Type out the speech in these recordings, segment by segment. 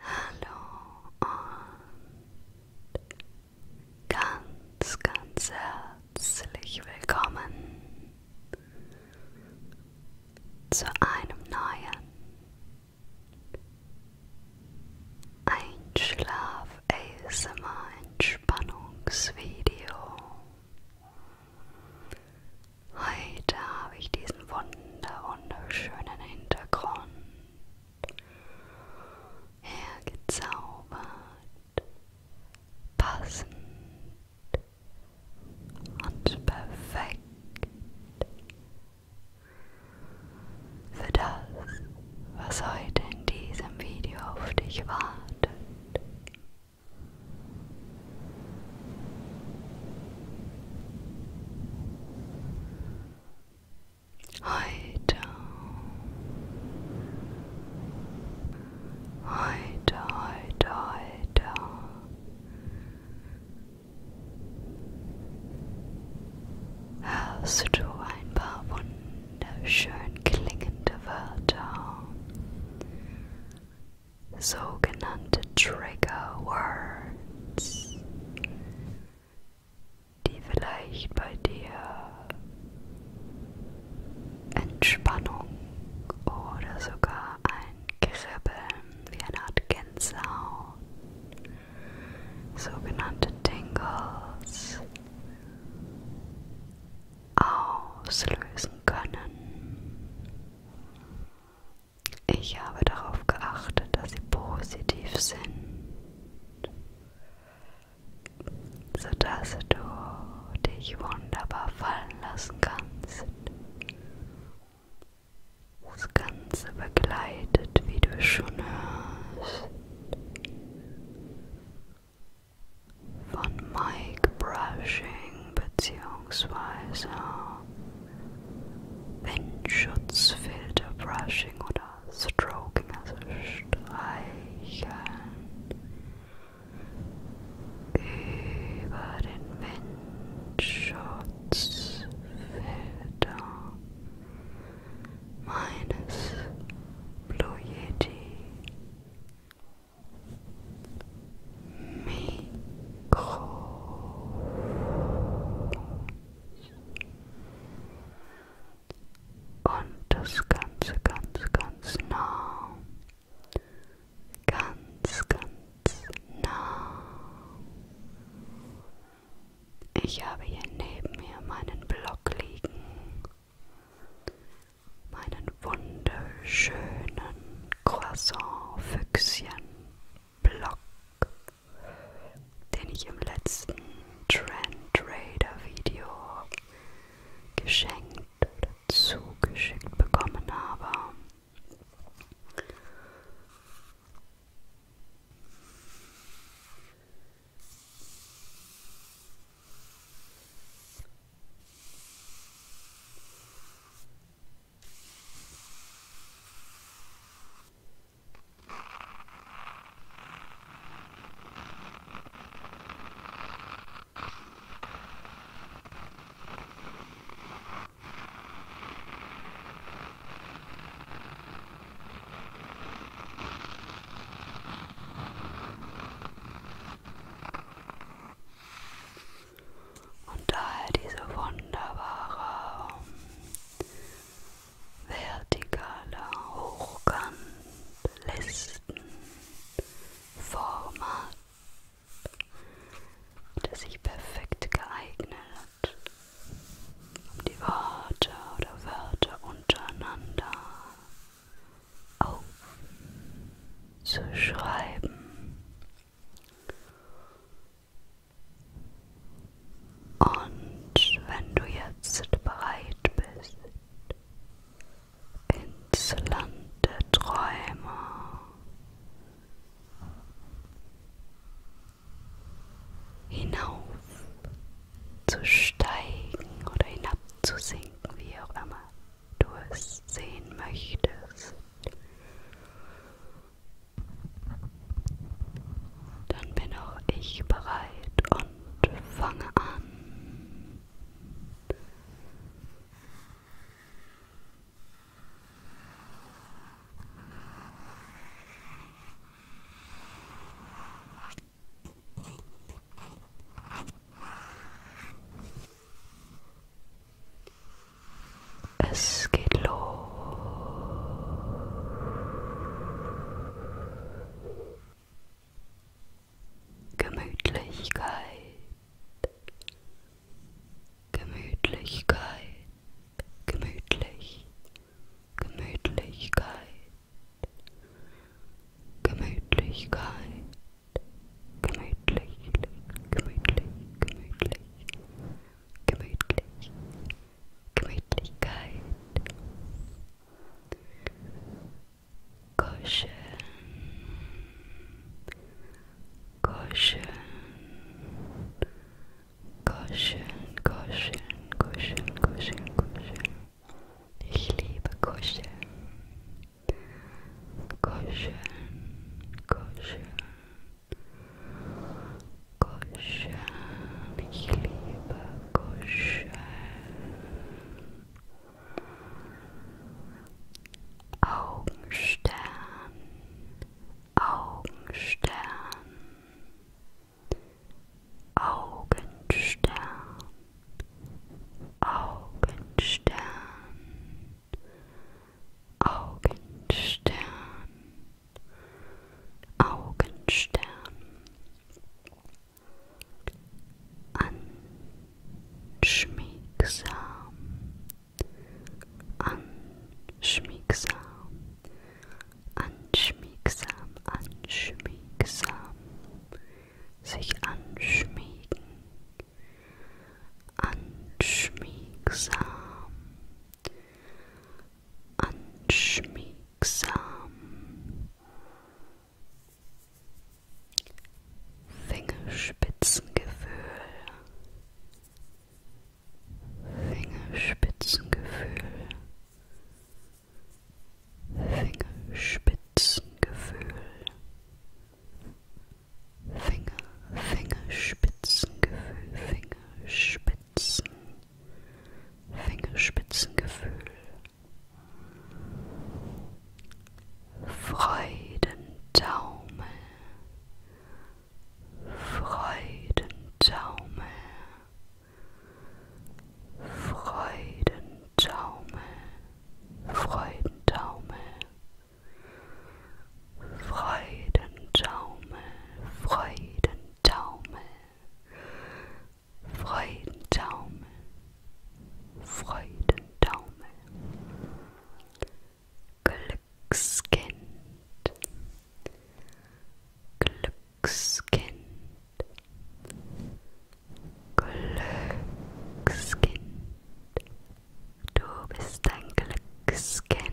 Hallo und ganz, ganz herzlich willkommen zu einem neuen Einschlaf ASMR Entspannungsvideo. Heute habe ich diesen wunder wunderschönen Hintergrund hergezaubert, passend und perfekt für das, was heute in diesem Video auf dich wartet. Heute, heute, heute, heute. Hörst du ein paar wunderschön klingende Wörter? Sogenannte Trigger Words. Schmerz, die vielleicht bei dir Entspannung oder sogar ein Kribbeln wie eine Art Gänsehaut, sogenannte Tingles, auslösen können. Ich habe darauf geachtet, dass sie positiv sind, sodass du dich wunderbar fallen lassen kannst. Das Ganze begleitet, wie du schon hörst, von Mic Brushing bzw. Windschutzfilter Brushing oder Stroking, also streicheln über den Windschutzfilter meines Blue Yeti Mikro. Und das Ganze ganz, ganz nah. Ganz, ganz nah. Ich habe hier neben mir meinen Block liegen. Meinen wunderschönen Croissant-Füchschen. Block, den ich im letzten Trend Raider Video geschenkt oder zugeschickt bekommen habe. Und daher diese wunderbare vertikaler Hochkant Listen Format, das sich perfekt geeignet, um die Worte oder Wörter untereinander aufzuschreiben. Und wenn du jetzt bereit bist, ins Land der Träume hinauf zu steigen oder hinabzusinken, wie auch immer du es sehen möchtest. Dann bin auch ich bereit und fange an. Esquilo Gemütlichkeit Gemütlichkeit Gemütlich Gemütlichkeit Gemütlichkeit Gemütlich, gemütlich, gemütlich, gemütlich, Gemütlichkeit, Kuscheln, Kuscheln, Kuscheln, Kuscheln, Kuscheln, Kuscheln, Kuscheln. Ich liebe Kuscheln, Kuscheln, Kuscheln. Kuscheln, ich liebe Kuscheln. Augenstern, Augenstern, Augenstern, Augenstern, Augenstern. Augenstern, anschmiegsam, anschmiegsam, anschmiegsam, anschmiegsam, sich anschmiegen, anschmiegsam anschmiegsam. Fingerspitzengefühl. Fingerspitzengefühl. Fingerspitzengefühl. Finger, Fingerspitzengefühl, Fingerspitzen. Fingerspitzengefühl, Freudentaumel, Freudentaumel, Freudentaumel, Freudentaumel, Freudentaumel, Freudentaumel. Freudentaumel, Freudentaumel, Glückskind, Glückskind, Glückskind, du bist ein Glückskind.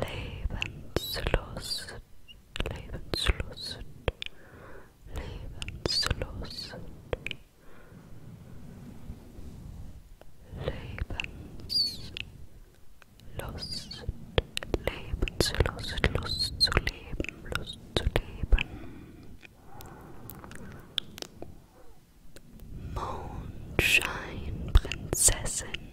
Lebenslust, Lebenslust, Lebenslust, Lebenslust, Lebenslust, Lust zu leben, Lust zu leben. Mondscheinprinzessin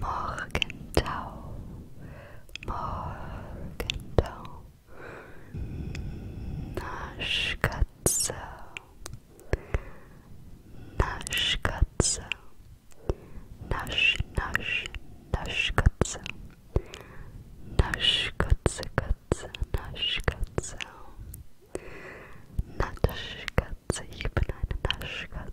Morgentau, Morgentau, Naschkatze, Naschkatze, Nasch, Nasch, Naschkatze, Naschkatze, Katze, Naschkatze, Naschkatze, ich bin eine Naschkatze.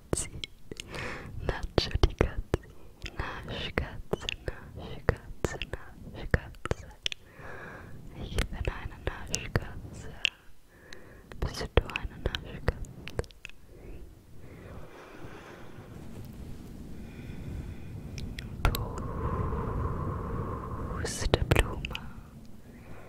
Katzi, Nacho die Katze, Nasch Katze, Nasch Katze, Nasch Katze. Ich bin eine Naschkatze. Bist du eine Naschkatze? Pusteblume.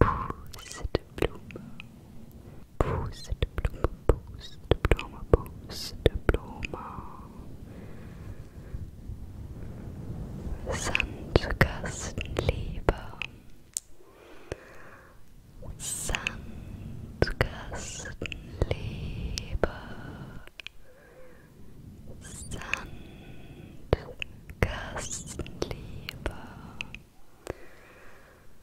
Pusteblume, Pusteblume, Pusteblume, Pusteblume. Sandkastenliebe, Sandkastenliebe, Sandkastenliebe.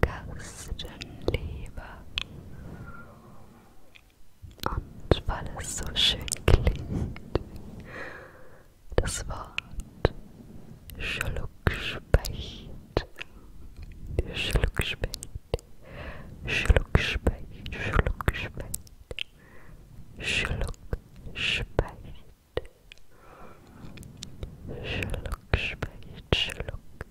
Gerstenleber. Und weil es so schön klingt, das Wort Schluckspecht. Schluckspecht. Schluckspecht. Schluckspecht. Schluckspecht. Schluckspecht. Schluck.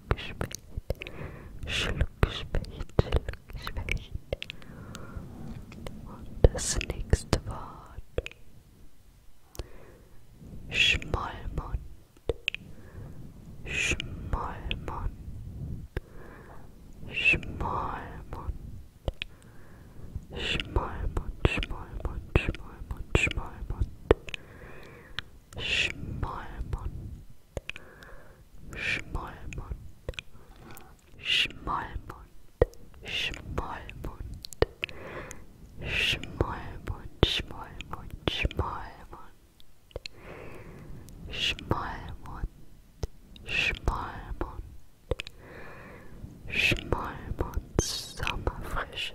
Schluckgespecht, Schluckgespecht, Schluckgespecht. Und das nächste Wort. Schmollmund, Schmollmund, Schmollmund, Schmollmund, Schmollmund, Schmollmund, Schmollmund. Schmollmund, Schmollmund, Schmollmund, Schmollmund, Schmollmund, Schmollmund, Schmollmund, Schmollmund, Schmollmund, Schmollmund, Sommerfrische.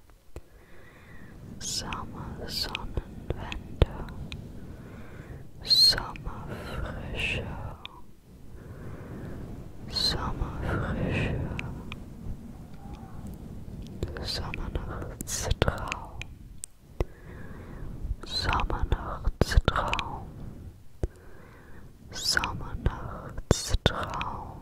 Sommersonnenwende, Sommerfrische, Sommerfrische, Sommernachtstraum, Sommernachtstraum, Sommernachtstraum.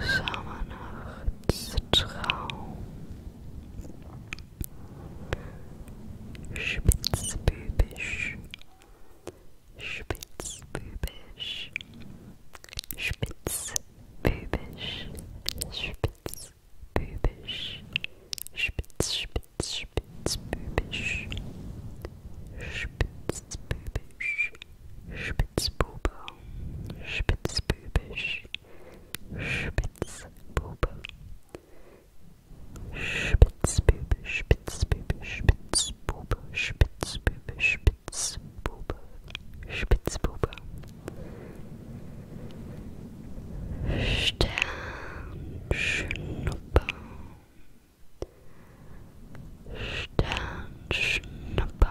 Schammernachtstraum, Spitzbübisch, Spitzbübisch, Spitzbübisch, Spitzbübisch, Spitz, Spitz, Spitzbübisch, Spitzbübisch, Spitzbube, Spitzbübisch. Spitzbube. Spitzbube, Spitzbube, Spitzbube, Spitzbube, Spitzbube, Spitzbube. Sternschnuppe. Sternschnuppe.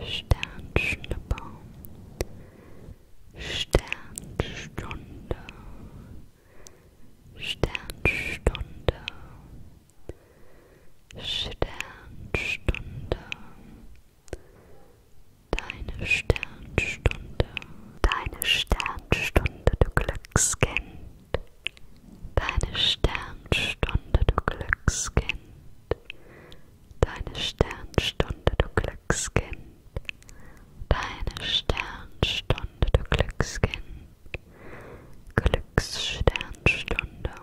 Sternschnuppe, Sternstunde, Sternstunde, Sternstunde, deine Sternstunde, deine Sternstunde, du Glückskind, deine Sternstunde, du Glückskind. deine Sternstunde, du Glückskind, deine Sternstunde, du Glückskind, Glückssternstunde,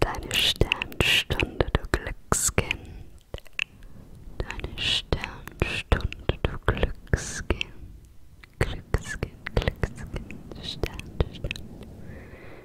deine Sternstunde, du Glückskind, deine Sternstunde, du Glückskind, Glückskind, Glückskind, Sternstunde.